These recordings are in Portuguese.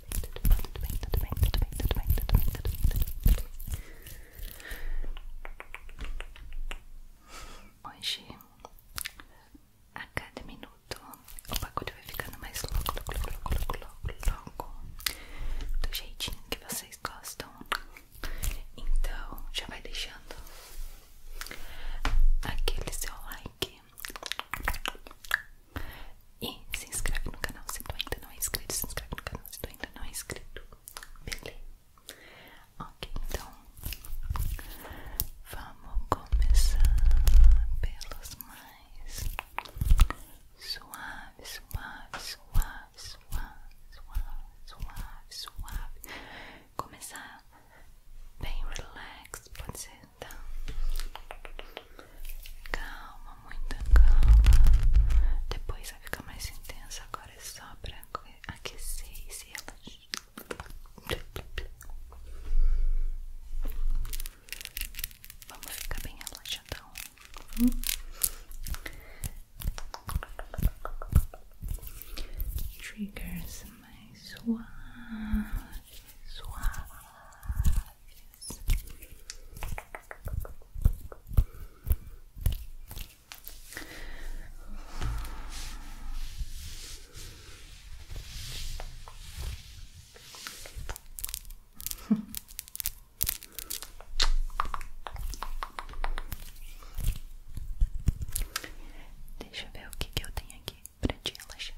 tudo bem, tudo bem, tudo bem, tudo bem, tudo bem, tudo bem, tudo bem. Hoje, a cada minuto, o bagulho vai ficando mais louco, louco, louco, louco, louco, louco, do jeitinho que vocês gostam. Então, já vai deixando aquele seu like. E se inscreve no canal se tu ainda não é inscrito. Se inscreve no canal se tu ainda não é inscrito. Beleza? Ok, então vamos começar pelos mais suaves suaves suaves suaves suaves suaves Começar bem relax, pode ser, tá? Calma, muita calma. Depois vai ficar mais intensa Agora é só pra aquecer e se relaxar. Vamos ficar bem relaxadão. Triggers mais suave, suave. Deixa eu ver o que, que eu tenho aqui pra te relaxar.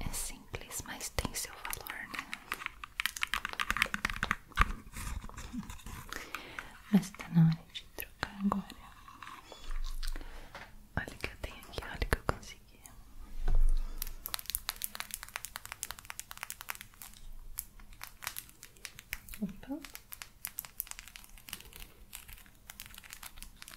É simples, mas tem seu valor, né? Mas tá na hora de trocar agora. Olha o que eu tenho aqui, olha o que eu consegui. Opa.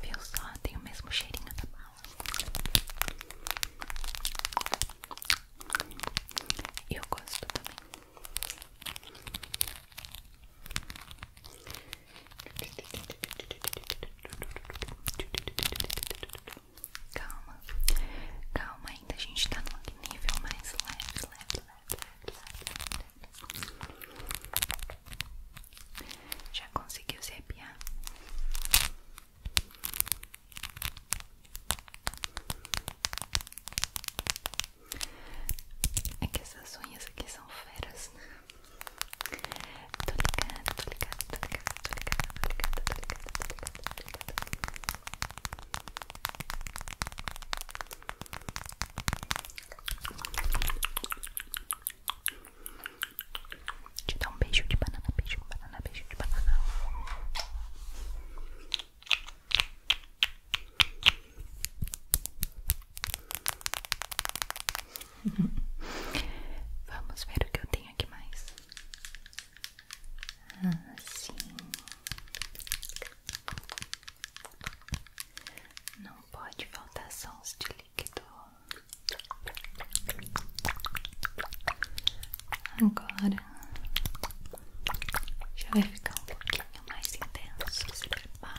Viu só? Tem o mesmo cheirinho da bala. Eu gosto também. Calma, calma ainda, a gente tá no nível mais leve, leve, leve, leve. Já conseguiu se arrepiar? É que essas unhas aqui são feras. Né? Tô ligada, tô ligada, tô ligada, tô ligada, tô ligada, tô ligada, tô ligada, tô ligada. Te dá um beijo de banana, beijo de banana, beijo de banana. Vamos ver o que eu tenho aqui mais. Ah, sim. Não pode faltar sons de líquido. Agora já vai ficar um pouquinho mais intenso. Se prepara.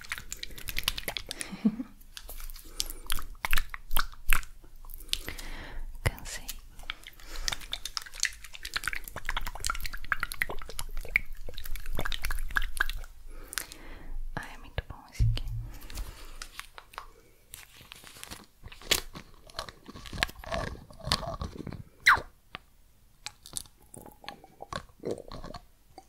Tá. Cansei. Ai, é muito bom esse aqui.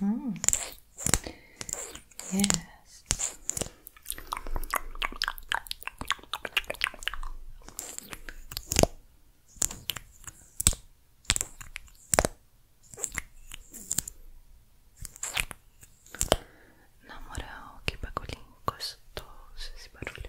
Mm -hmm. Na moral, que bagulhinho gostoso esse barulho.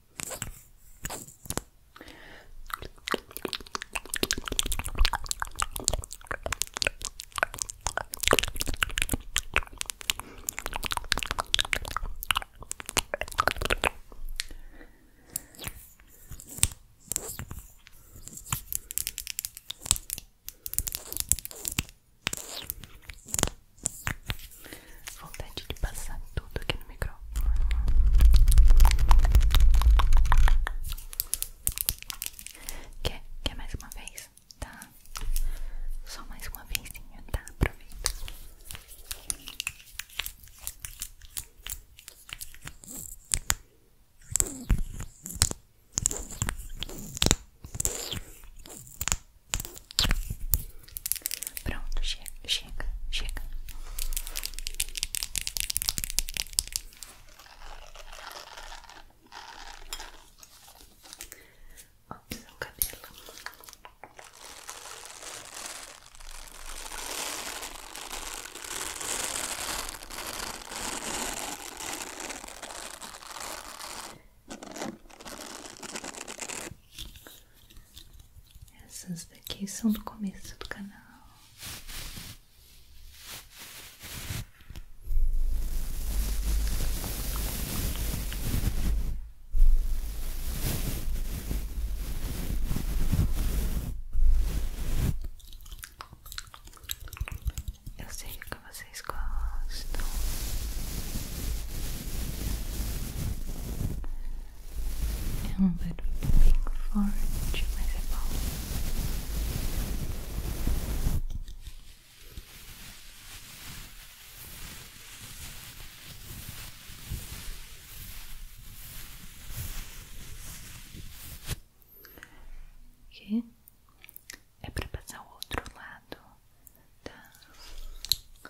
Vontade de passar tudo aqui no microfone. Quer, mais uma vez? Tá? Só mais uma vezinha, tá? Aproveita. Pronto, chega, chega, chega. Opção cabelo. Essas daqui são do começo do canal. Eu sei que vocês gostam. É um barulho bem forte, mas é bom. Que é para passar o outro lado, da.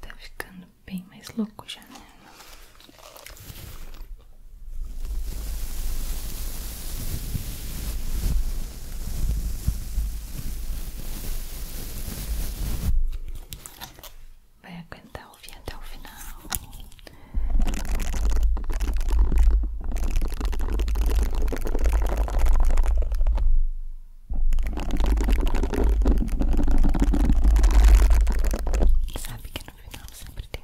Tá ficando bem mais louco já, né? Vai aguentar o ouvir até o final. Sabe que no final sempre tem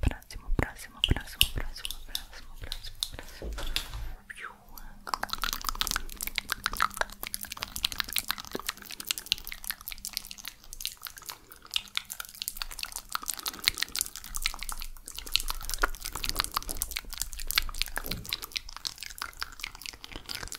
Próximo, próximo, próximo, próximo, próximo, próximo, próximo.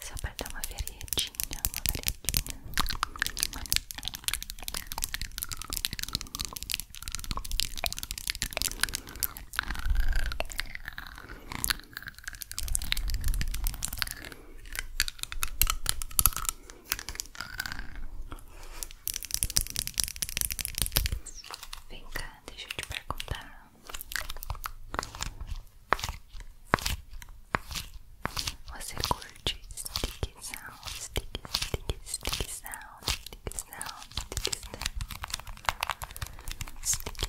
Só para dar uma veredinha, uma veredinha. Vem cá, deixa eu te perguntar. Você curte stick sound, stick, stick, stick sound, stick sound, stick sound, stick,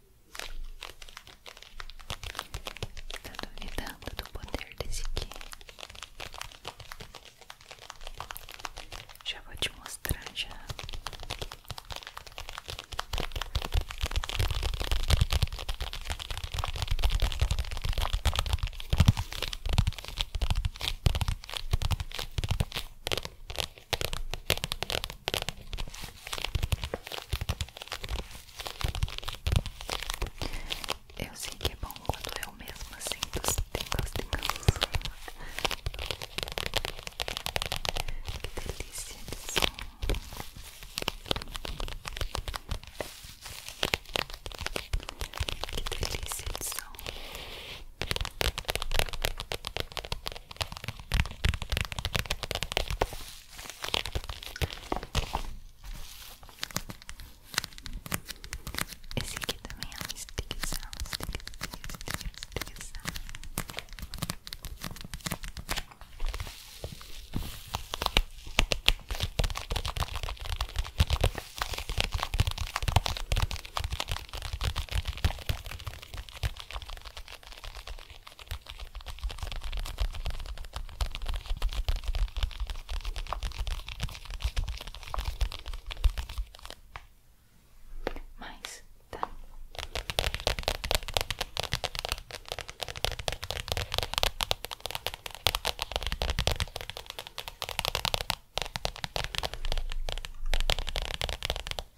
Tá duvidando do poder desse aqui? Já vou te mostrar já. Eu sei que é bom quando eu mesma sinto os tingles, tingles. Que delícia de som. Que delícia de som. Esse aqui também é um sticker sound, sticker, sticker, sticker, sticker sound. Mas tá. Tô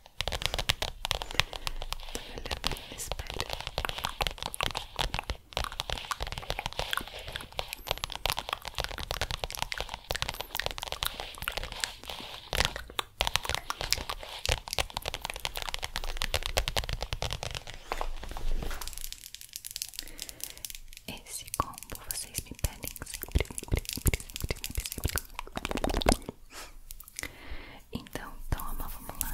Esse combo vocês me pedem sempre, sempre, sempre, sempre, sempre, sempre. Então, toma, vamos lá.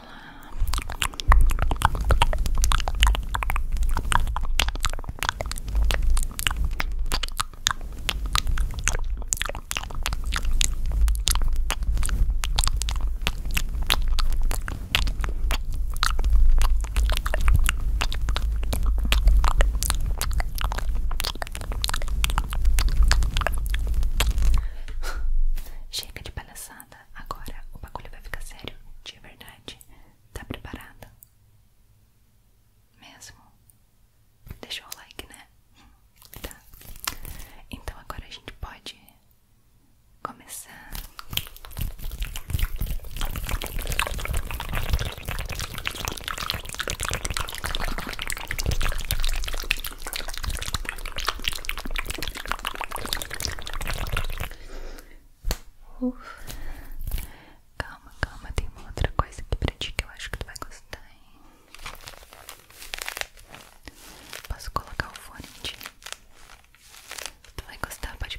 Chega de palhaçada. Agora o bagulho vai ficar sério de verdade. Tá preparada? Mesmo? Deixou o like, né? Tá. Então agora a gente pode começar. Uf. Calma, calma, tem uma outra coisa aqui pra ti que eu acho que tu vai gostar, hein? Posso colocar o fone em ti? Tu vai gostar, pode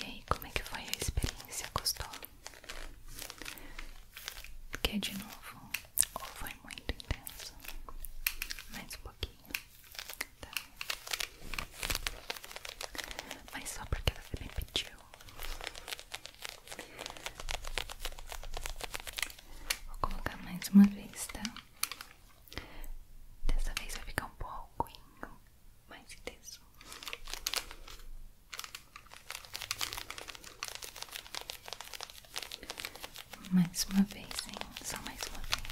E aí, como é que foi a experiência? Gostou? Quer de novo? Ou foi muito intenso? Mais um pouquinho, tá. Mas só porque você me pediu. Vou colocar mais uma vez, tá? Dessa vez vai ficar um pouco mais intenso. Mais uma vez, hein? Só mais uma vez,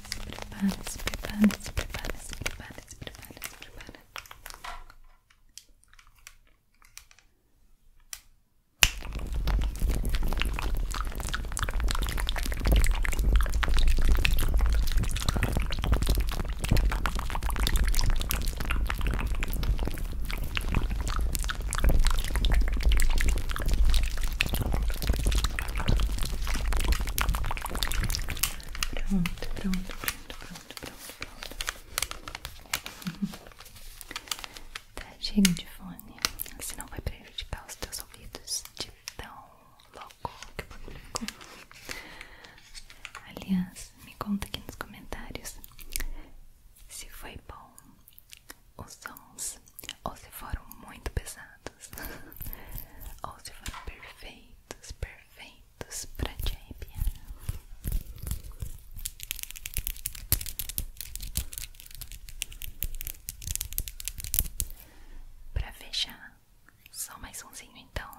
Se prepara, se prepara, se prepara, se prepara, se prepara, se prepara. Pronto, pronto, pronto, pronto, pronto, pronto. Tá cheio de fone, senão vai prejudicar os teus ouvidos de tão louco que publicou. Aliás, me conta aqui nos comentários se foi bom os sons ou se foram muito pesados ou se foram perfeitos, perfeitos momentos pra te arrepiar. Pra fechar, só mais umzinho então.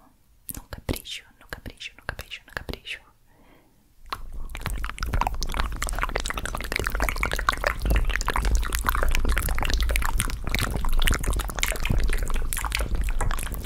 No capricho, no capricho, no capricho, no capricho.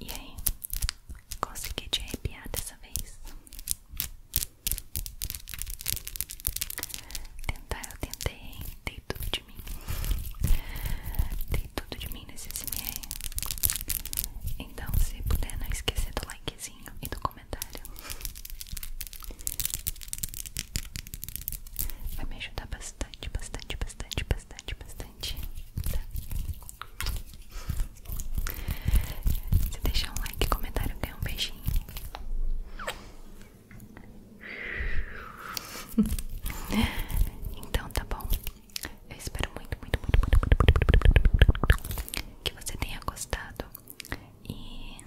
E aí? Consegui te arrepiar dessa vez? Tentar, eu tentei, tem tudo de mim tem tudo de mim nesse SMR Então se puder não esquecer do likezinho e do comentário comentário. Vai me ajudar bastante, bastante, bastante, bastante, bastante. Tá? Se deixar um like comentário, ganhar um beijinho. então tá bom. Eu espero muito, muito, muito, muito, muito, muito que você tenha gostado e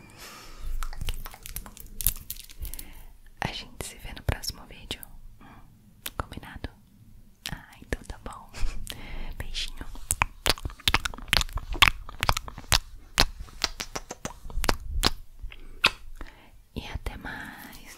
a gente se vê no próximo vídeo. Hum, combinado? Ah, então tá bom. Beijinho. E até mais.